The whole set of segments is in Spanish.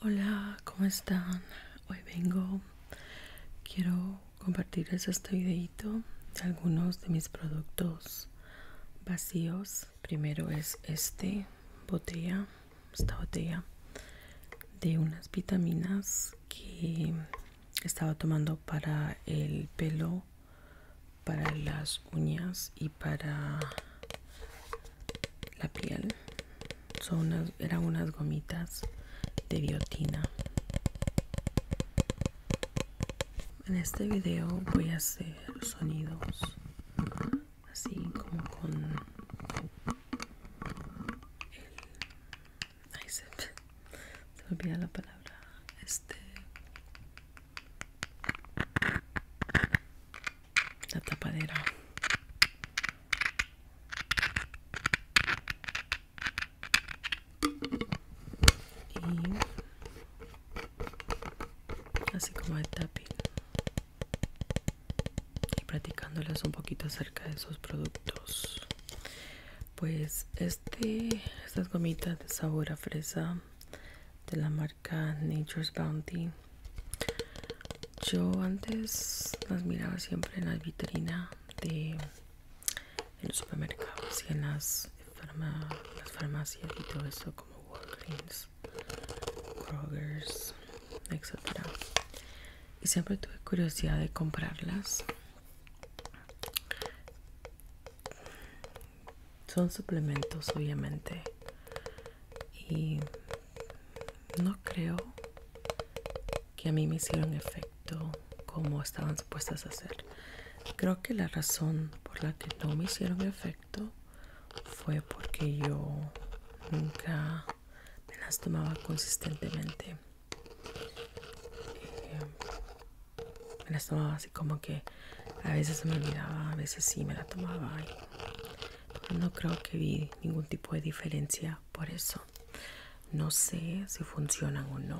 Hola, ¿cómo están? Hoy vengo, quiero compartirles este videito de algunos de mis productos vacíos. Primero es este botella, esta botella de unas vitaminas que estaba tomando para el pelo para las uñas y para la piel son unas, eran unas gomitas de biotina en este video voy a hacer sonidos así como con el se, me olvida la palabra este la tapadera y así como el tapping y practicándoles un poquito acerca de esos productos pues este estas gomitas de sabor a fresa de la marca nature's bounty yo antes las miraba siempre en la vitrina de en los supermercados y en las, farmacias y todo eso como Walgreens, Kroger's, etc. Y siempre tuve curiosidad de comprarlas son suplementos obviamente y no creo que a mí me hicieron efecto como estaban supuestas a hacer creo que la razón por la que no me hicieron efecto fue porque yo nunca me las tomaba consistentemente me eh, las tomaba así como que a veces se me olvidaba, a veces sí me las tomaba. no creo que vi ningún tipo de diferencia por eso. No sé si funcionan o no.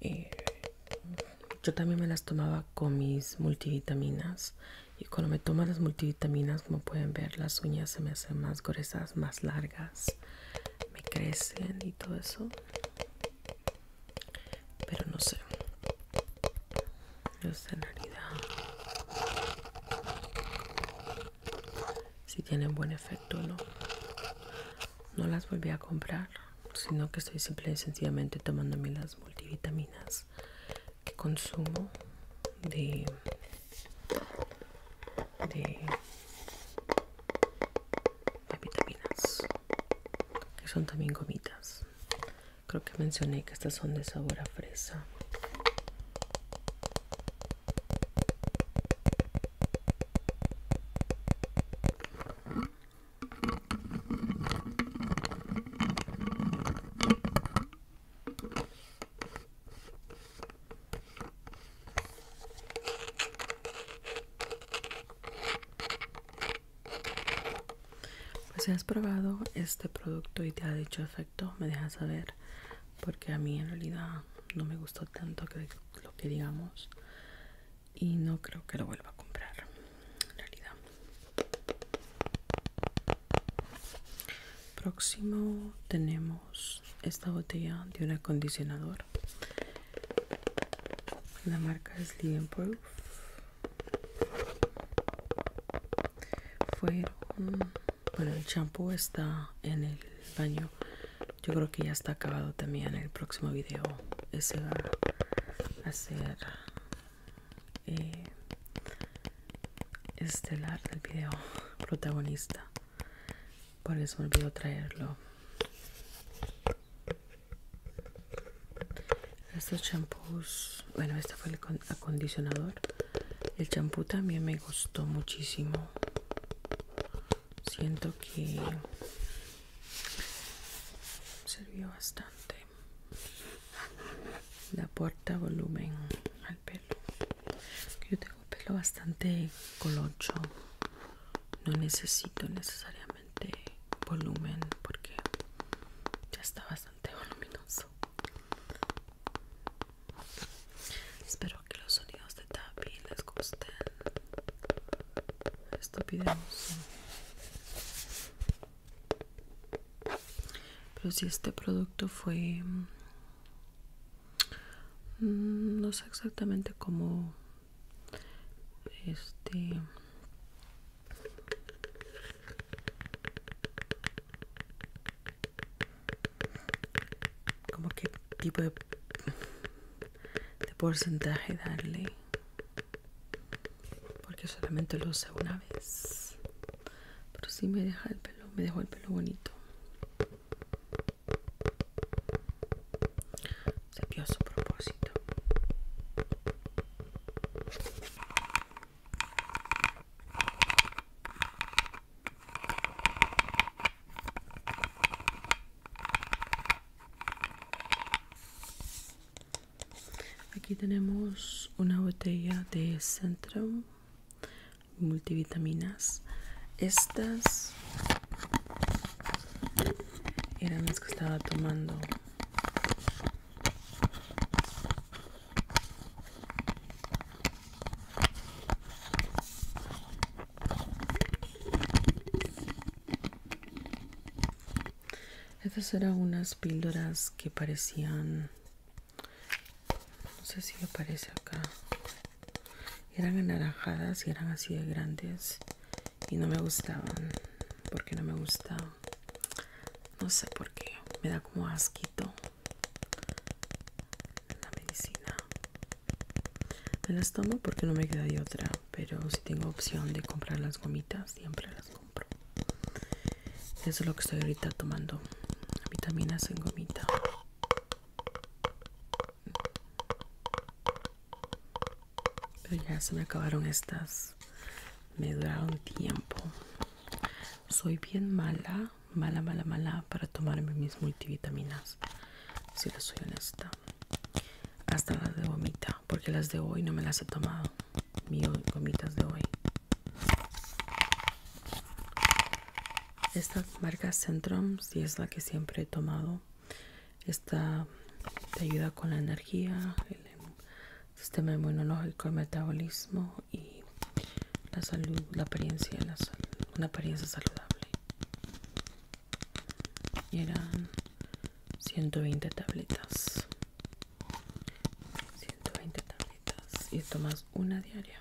Eh, yo también me las tomaba con mis multivitaminas. Y cuando me tomo las multivitaminas, como pueden ver, las uñas se me hacen más gruesas, más largas me crecen y todo eso pero no sé en realidad si tienen buen efecto o no no las volví a comprar sino que estoy simplemente, y sencillamente tomándome las multivitaminas que consumo de de vitaminas que son también gomitas creo que mencioné que estas son de sabor a fresa pues si has probado este producto y te ha dicho efecto, me dejas saber, porque a mí en realidad no me gustó tanto lo que digamos y no creo que lo vuelva a comprar en realidad. Próximo tenemos esta botella de un acondicionador la marca es Proof fue bueno el champú está en el baño yo creo que ya está acabado también el próximo video ese va eh, estelar del video protagonista por eso me a traerlo. Estos champús, bueno, este fue el acondicionador. El champú también me gustó muchísimo. Siento que sirvió bastante. La aporta volumen al pelo. Yo tengo pelo bastante colocho. No necesito necesariamente volumen porque ya está bastante voluminoso. Espero que los sonidos de TAPI les gusten. Esto Pero si este producto fue Mm, no sé exactamente cómo este como qué tipo de, porcentaje darle porque solamente lo usé una vez pero si me deja el pelo me dejó el pelo bonito se pio a propósito. Aquí tenemos una botella de Centrum multivitaminas estas eran las que estaba tomando estas eran unas píldoras que parecían no sé si aparece acá eran anaranjadas y eran así de grandes y no me gustaban porque no me gusta no sé por qué me da como asquito la medicina me las tomo porque no me queda de otra pero si tengo opción de comprar las gomitas siempre las compro eso es lo que estoy ahorita tomando. Vitaminas en gomita. Pero ya se me acabaron estas. Me duraron tiempo. Soy bien mala, mala, mala, mala para tomarme mis multivitaminas. Si les soy honesta. Hasta las de gomita. Porque las de hoy no me las he tomado. Mis gomitas de hoy. Esta marca Centrum, si es la que siempre he tomado, esta te ayuda con la energía, el sistema inmunológico, el metabolismo y la salud, la apariencia, una apariencia saludable. Y eran 120 tabletas. 120 tabletas y tomas una diaria.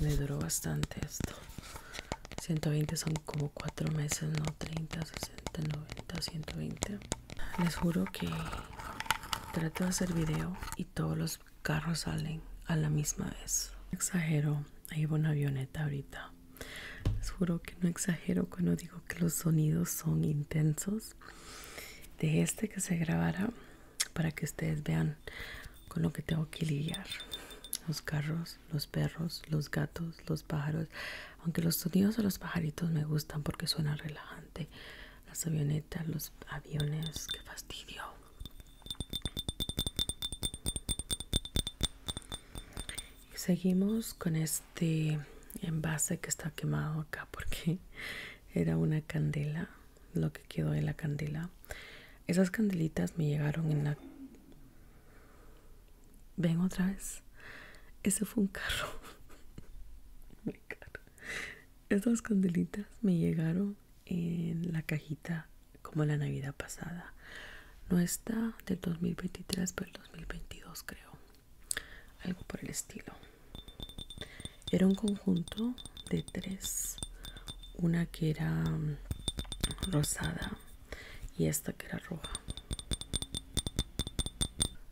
me, duró bastante esto. 120 son como 4 meses, no 30, 60, 90, 120. Les juro que trato de hacer video y todos los carros salen a la misma vez. exagero, ahí va una avioneta ahorita. Les juro que no exagero cuando digo que los sonidos son intensos de este que se grabara para que ustedes vean con lo que tengo que lidiar los carros los perros los gatos los pájaros aunque los sonidos de los pajaritos me gustan porque suena relajante las avionetas los aviones qué fastidio seguimos con este este envase que está quemado acá porque era una candela lo que quedó en la candela esas candelitas me llegaron en la ven otra vez ese fue un carro esas candelitas me llegaron en la cajita como la navidad pasada no está del 2023 pero el 2022 creo algo por el estilo era un conjunto de tres una que era mm, rosada y esta que era roja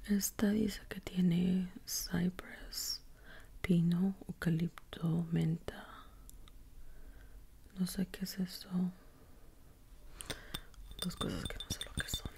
esta dice que tiene cypress pino eucalipto menta no sé qué es eso dos cosas que no sé lo que son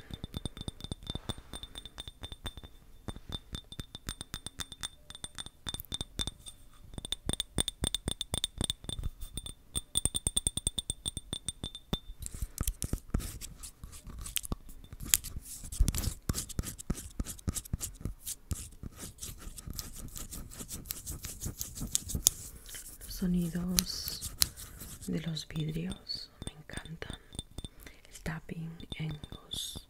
sonidos de los vidrios me encantan el tapping en los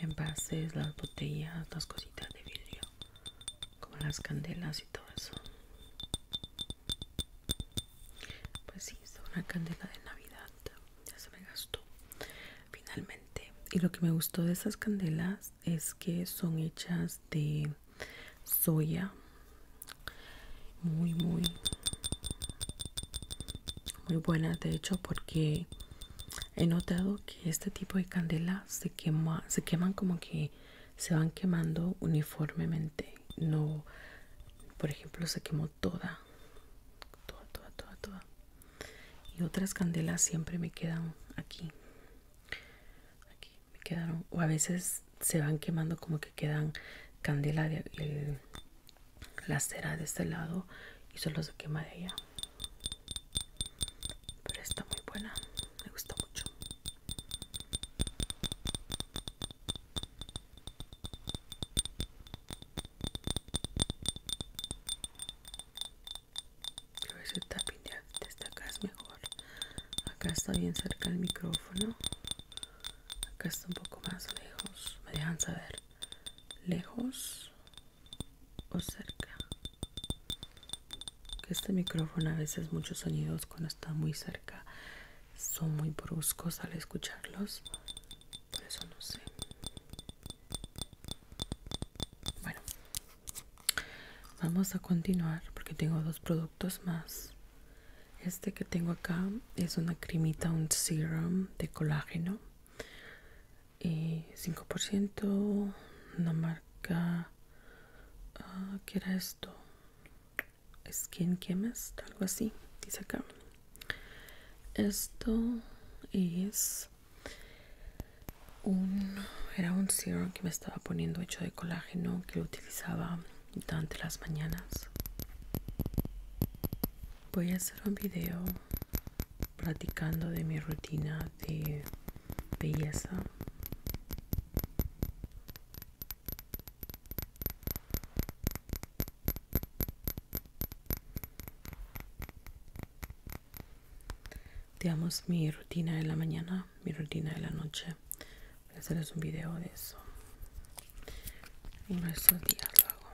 envases las botellas las cositas de vidrio como las candelas y todo eso pues sí es una candela de navidad ya se me gastó finalmente y lo que me gustó de esas candelas es que son hechas de soya muy muy muy buenas de hecho porque he notado que este tipo de candelas se quema se queman como que se van quemando uniformemente no por ejemplo se quemó toda toda toda toda y otras candelas siempre me quedan aquí aquí me quedaron o a veces se van quemando como que quedan candela de la cera de este lado y solo se quema de allá pero está muy buena me gusta mucho Que ese tapping es mejor acá está bien cerca el micrófono acá está un poco más lejos me dejan saber lejos o cerca que este micrófono a veces muchos sonidos cuando está muy cerca son muy bruscos al escucharlos por eso no sé bueno vamos a continuar porque tengo dos productos más este que tengo acá es una cremita, un serum de colágeno. Y 5%, una marca... que ah, ¿Qué era esto? Skin Chemist, algo así, dice acá. Esto es un... Era un serum que me estaba poniendo hecho de colágeno que lo utilizaba durante las mañanas voy a hacer un video platicando de mi rutina de belleza digamos mi rutina de la mañana mi rutina de la noche Voy a hacerles un video de eso. y de estos días lo hago.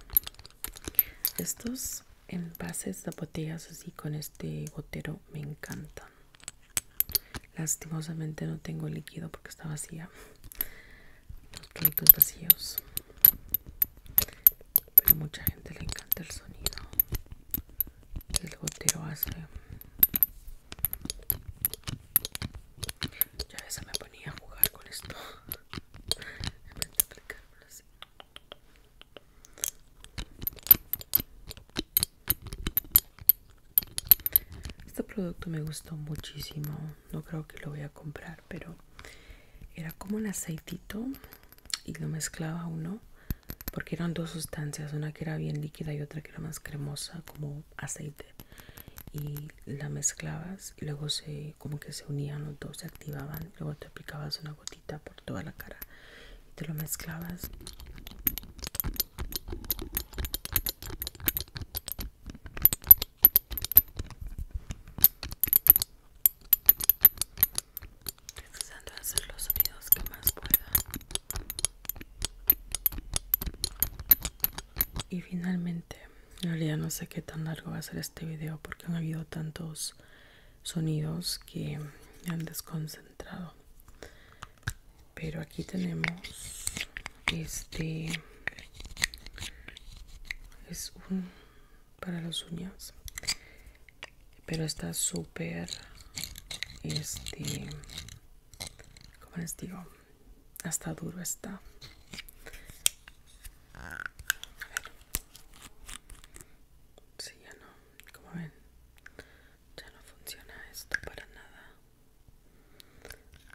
Estos envases de botellas así con este gotero me encantan. Lastimosamente no tengo líquido porque está vacía. Los productos vacíos. Pero a mucha gente le encanta el sonido. El gotero hace ya a veces me ponía a jugar con esto. En vez así. Este producto me gustó muchísimo. No creo que lo voy a comprar, pero era como un aceitito y lo mezclaba uno porque eran dos sustancias, una que era bien líquida y otra que era más cremosa, como aceite y la mezclabas y luego se como que se unían los dos se activaban luego te aplicabas una gotita por toda la cara y te lo mezclabas hacer los sonidos que más pueda y finalmente en realidad no sé qué tan largo va a ser este video porque han habido tantos sonidos que me han desconcentrado pero aquí tenemos este es un para los uñas pero está súper este como les digo hasta duro está Sí, ya no, como ven, ya no funciona esto para nada.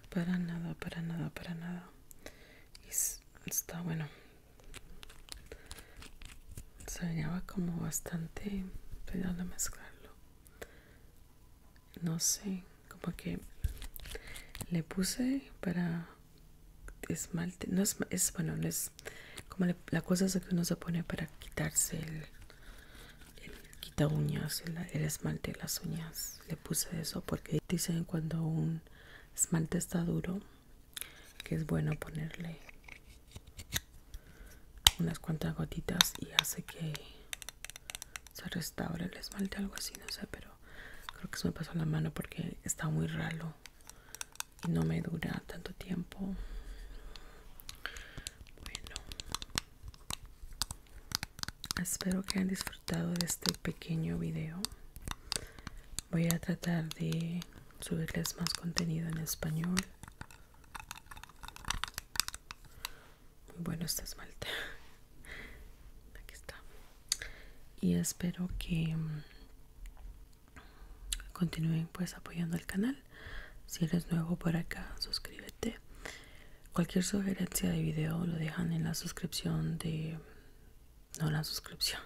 Para nada, para nada, para nada. Y está bueno. Se veía como bastante cuidado mezclarlo no sé como que le puse para esmalte no es, bueno es como la cosa es que uno se pone para quitarse el, quita uñas el esmalte de las uñas le puse eso porque dicen cuando un esmalte está duro que es bueno ponerle unas cuantas gotitas y hace que se restaure el esmalte, algo así, no sé, pero creo que se me pasó la mano porque está muy ralo y no me dura tanto tiempo. Bueno, espero que hayan disfrutado de este pequeño video. Voy a tratar de subirles más contenido en español bueno esta esmalte. Aquí está. Y espero que mm, continúen pues apoyando el canal. Si eres nuevo por acá, suscríbete. Cualquier sugerencia de video lo dejan en la suscripción de... No, la suscripción.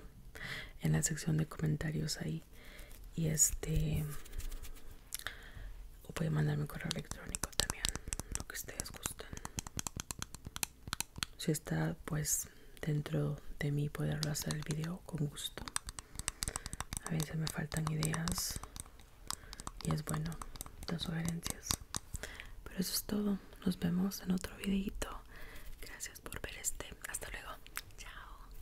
En la sección de comentarios ahí. Y este o puede mandarme un correo electrónico también lo que ustedes gusten si está pues dentro de mí poderlo hacer el video con gusto a veces me faltan ideas y es bueno las sugerencias pero eso es todo nos vemos en otro videito gracias por ver este hasta luego chao